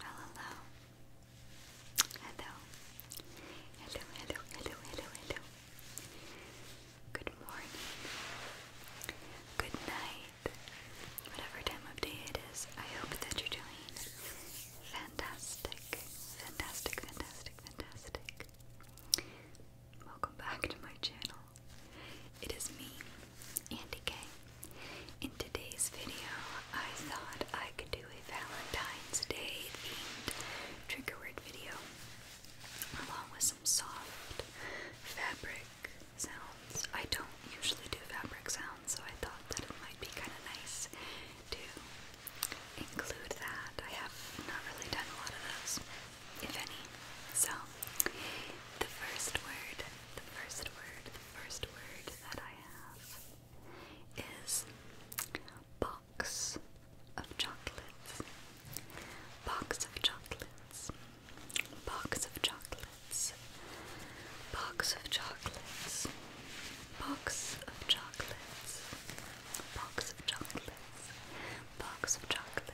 hello. Hello. Hello, hello, hello, hello, hello. Good morning. Good night. Whatever time of day it is, I hope that you're doing fantastic. Fantastic, fantastic, fantastic. Welcome back to my channel. It is me, Andy K. In today's video, I thought I could do a Valentine's Day themed trigger word video along with some soft fabric sounds. I don't usually do fabric sounds, so I thought that it might be kind of nice to include that. I have not really done a lot of those, if any. So, the first word the first word, the first word that I have is box of chocolates. Box of chocolates. Box of chocolates. Box of chocolates. Box of chocolates. Box of chocolates. Box of chocolates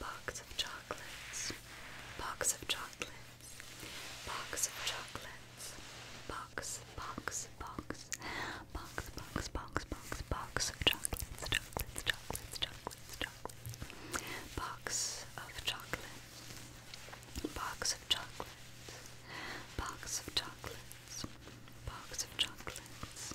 box of chocolates, box of chocolates, box of chocolates, box, box, box, box, box, box, box, box of chocolates, chocolates, chocolates, chocolates, chocolates, box of chocolates, box of chocolates, box of chocolates, box of chocolates.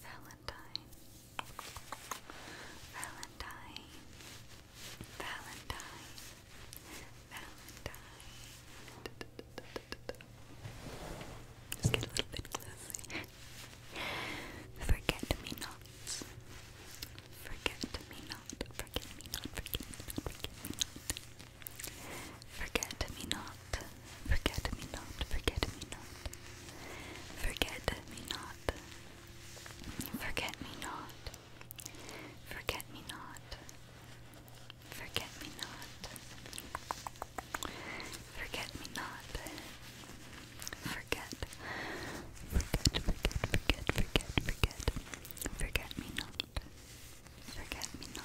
Valentine, Valentine, Valentine, Valentine. Just get a little bit closer. Forget me nots. Forget me not. Forget me not. Forget me not. Forget me not. Forget me not not, forget me not, forget me not, forget me not, forget me not, forget me not, forget me not, forget me not, forget, forget, forget, forget, forget, forget, forget me not, forget me not. Forget me not,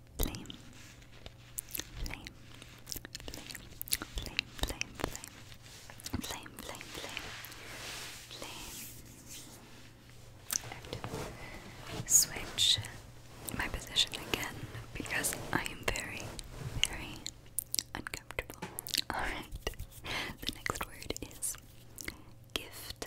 flame, flame, flame, flame, flame, flame, flame, flame, flame, switch my position again because I am very, very uncomfortable. Alright, the next word is gift.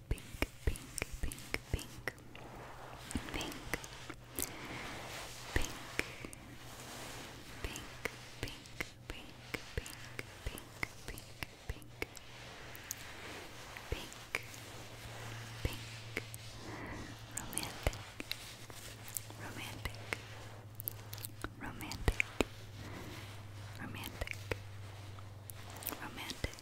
pink, pink, pink, pink, pink, pink, pink, pink, pink, pink, pink, pink, pink, pink, pink, romantic, romantic, romantic, romantic, romantic.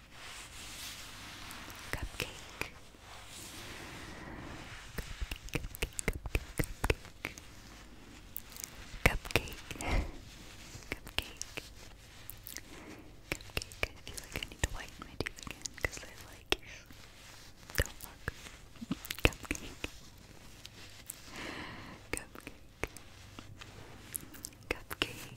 Cupcake. Cupcake, cupcake, cupcake, cupcake. cupcake. I need to whiten my teeth again because they like, do Cupcake. Cupcake. Cupcake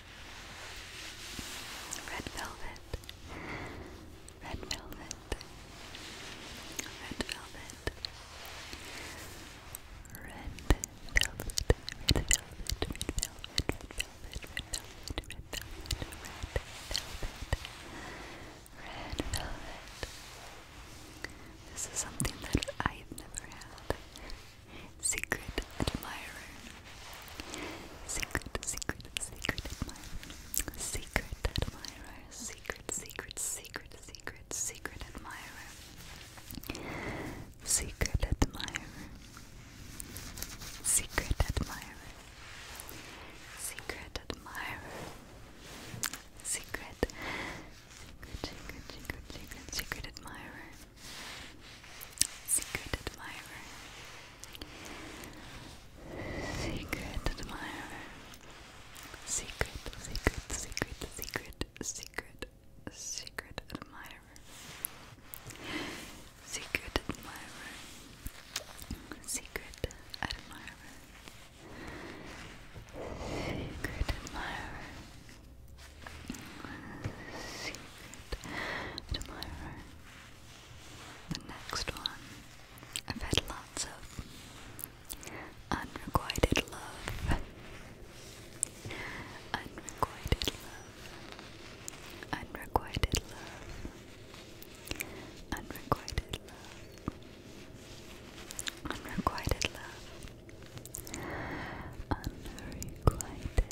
Red velvet. Red velvet. Red velvet. Red velvet. Red velvet. Red velvet. Red velvet. Red velvet. Red velvet. Red velvet. Red velvet. Red velvet. Red velvet. Secret admirer. Secret, secret, secret admirer. Secret admirer. Secret, secret, secret, secret, secret admirer. Secret admirer. Secret admirer. Secret admirer. Secret. Secret, secret, secret, secret, secret admirer. Secret admirer. Secret admirer. Secret, secret, secret, secret, secret, secret admirer. Secret admirer. Secret admirer. Secret admirer. Secret admirer. The next one. I've had lots of unrequited love. Unrequited love. Unrequited love. Unrequited love. Unrequited love. Unrequited, unrequited,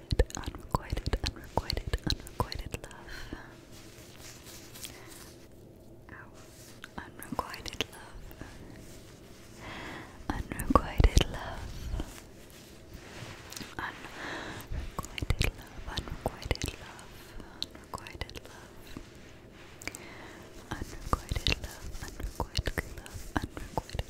unrequited, unrequited love. Ow. Unrequited love. Unrequited love, unrequited love, unrequited love. Unrequited love, unrequited love, unrequited love.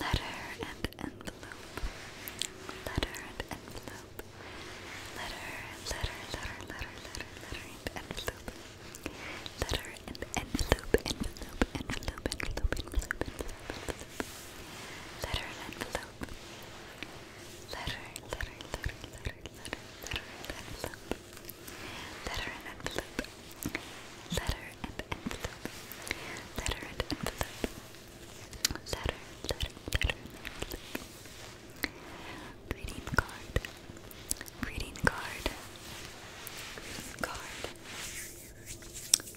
Letter and envelope. Letter and envelope. Letter, letter, letter, letter, letter, letter and envelope. Letter and envelope, envelope, envelope, envelope, envelope, envelope. Letter and envelope. Letter, letter, letter, letter, letter, letter and envelope. Letter and envelope. Letter and envelope. Letter and envelope. Letter, letter, letter, envelope. Greeting card. Greeting card.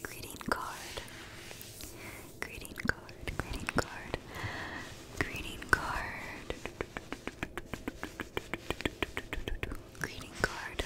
Greeting card. Greeting card. Greeting card. Greeting card. Greeting card. Greeting card. Greeting card. Greeting card.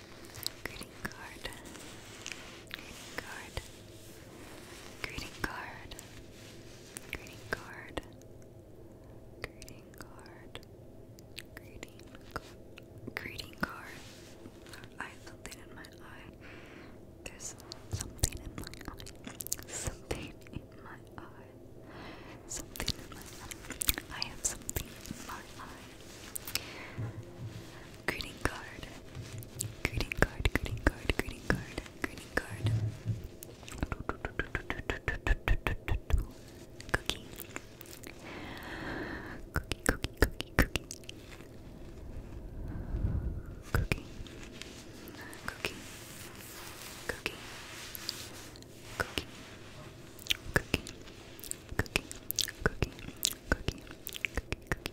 Greeting card. Greeting card. Greeting card. Greeting card. Greeting card. Greeting card. Greeting card. I have something in my eye. There's something in my eye. Something in my eye. Something in my eye. I have something in my eye. Greeting card. Greeting card, greeting card, greeting card, greeting card. Cookie. Cookie, cookie, cookie, cookie. Cookie. Cookie. Cookie. Cookie. Cookie. Cookie. Cookie. Cookie. Cookie. Cookie. Cookie.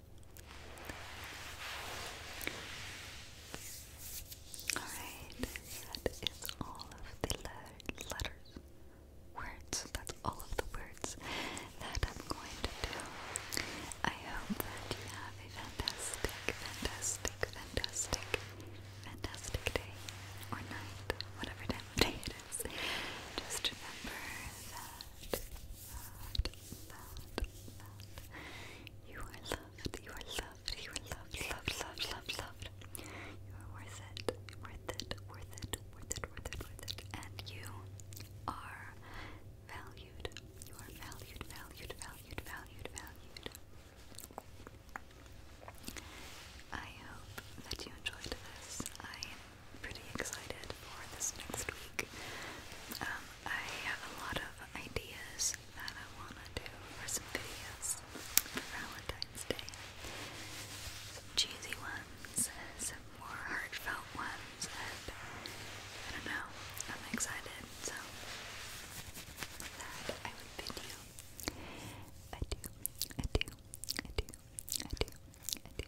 Alright, that is all of the letters, words, that's all of the words that I'm going to do. I hope that you have a fantastic, fantastic, fantastic, fantastic day or night, whatever day it is. Just remember that loved, loved, loved. You are loved, you are loved, you are loved, loved, loved, loved, loved. You are worth it, worth it, worth it, worth it, worth it, worth it. And you are valued. You are valued, valued, valued, valued, valued. I hope that you enjoyed this. I am pretty excited for this next week. Um, I have a lot of ideas that I want to do for some videos for Valentine's Day. Some cheesy ones, some more heartfelt ones, and I don't know, I'm excited, so that I would bid you. I do, I do, I do, I do, I do, I do,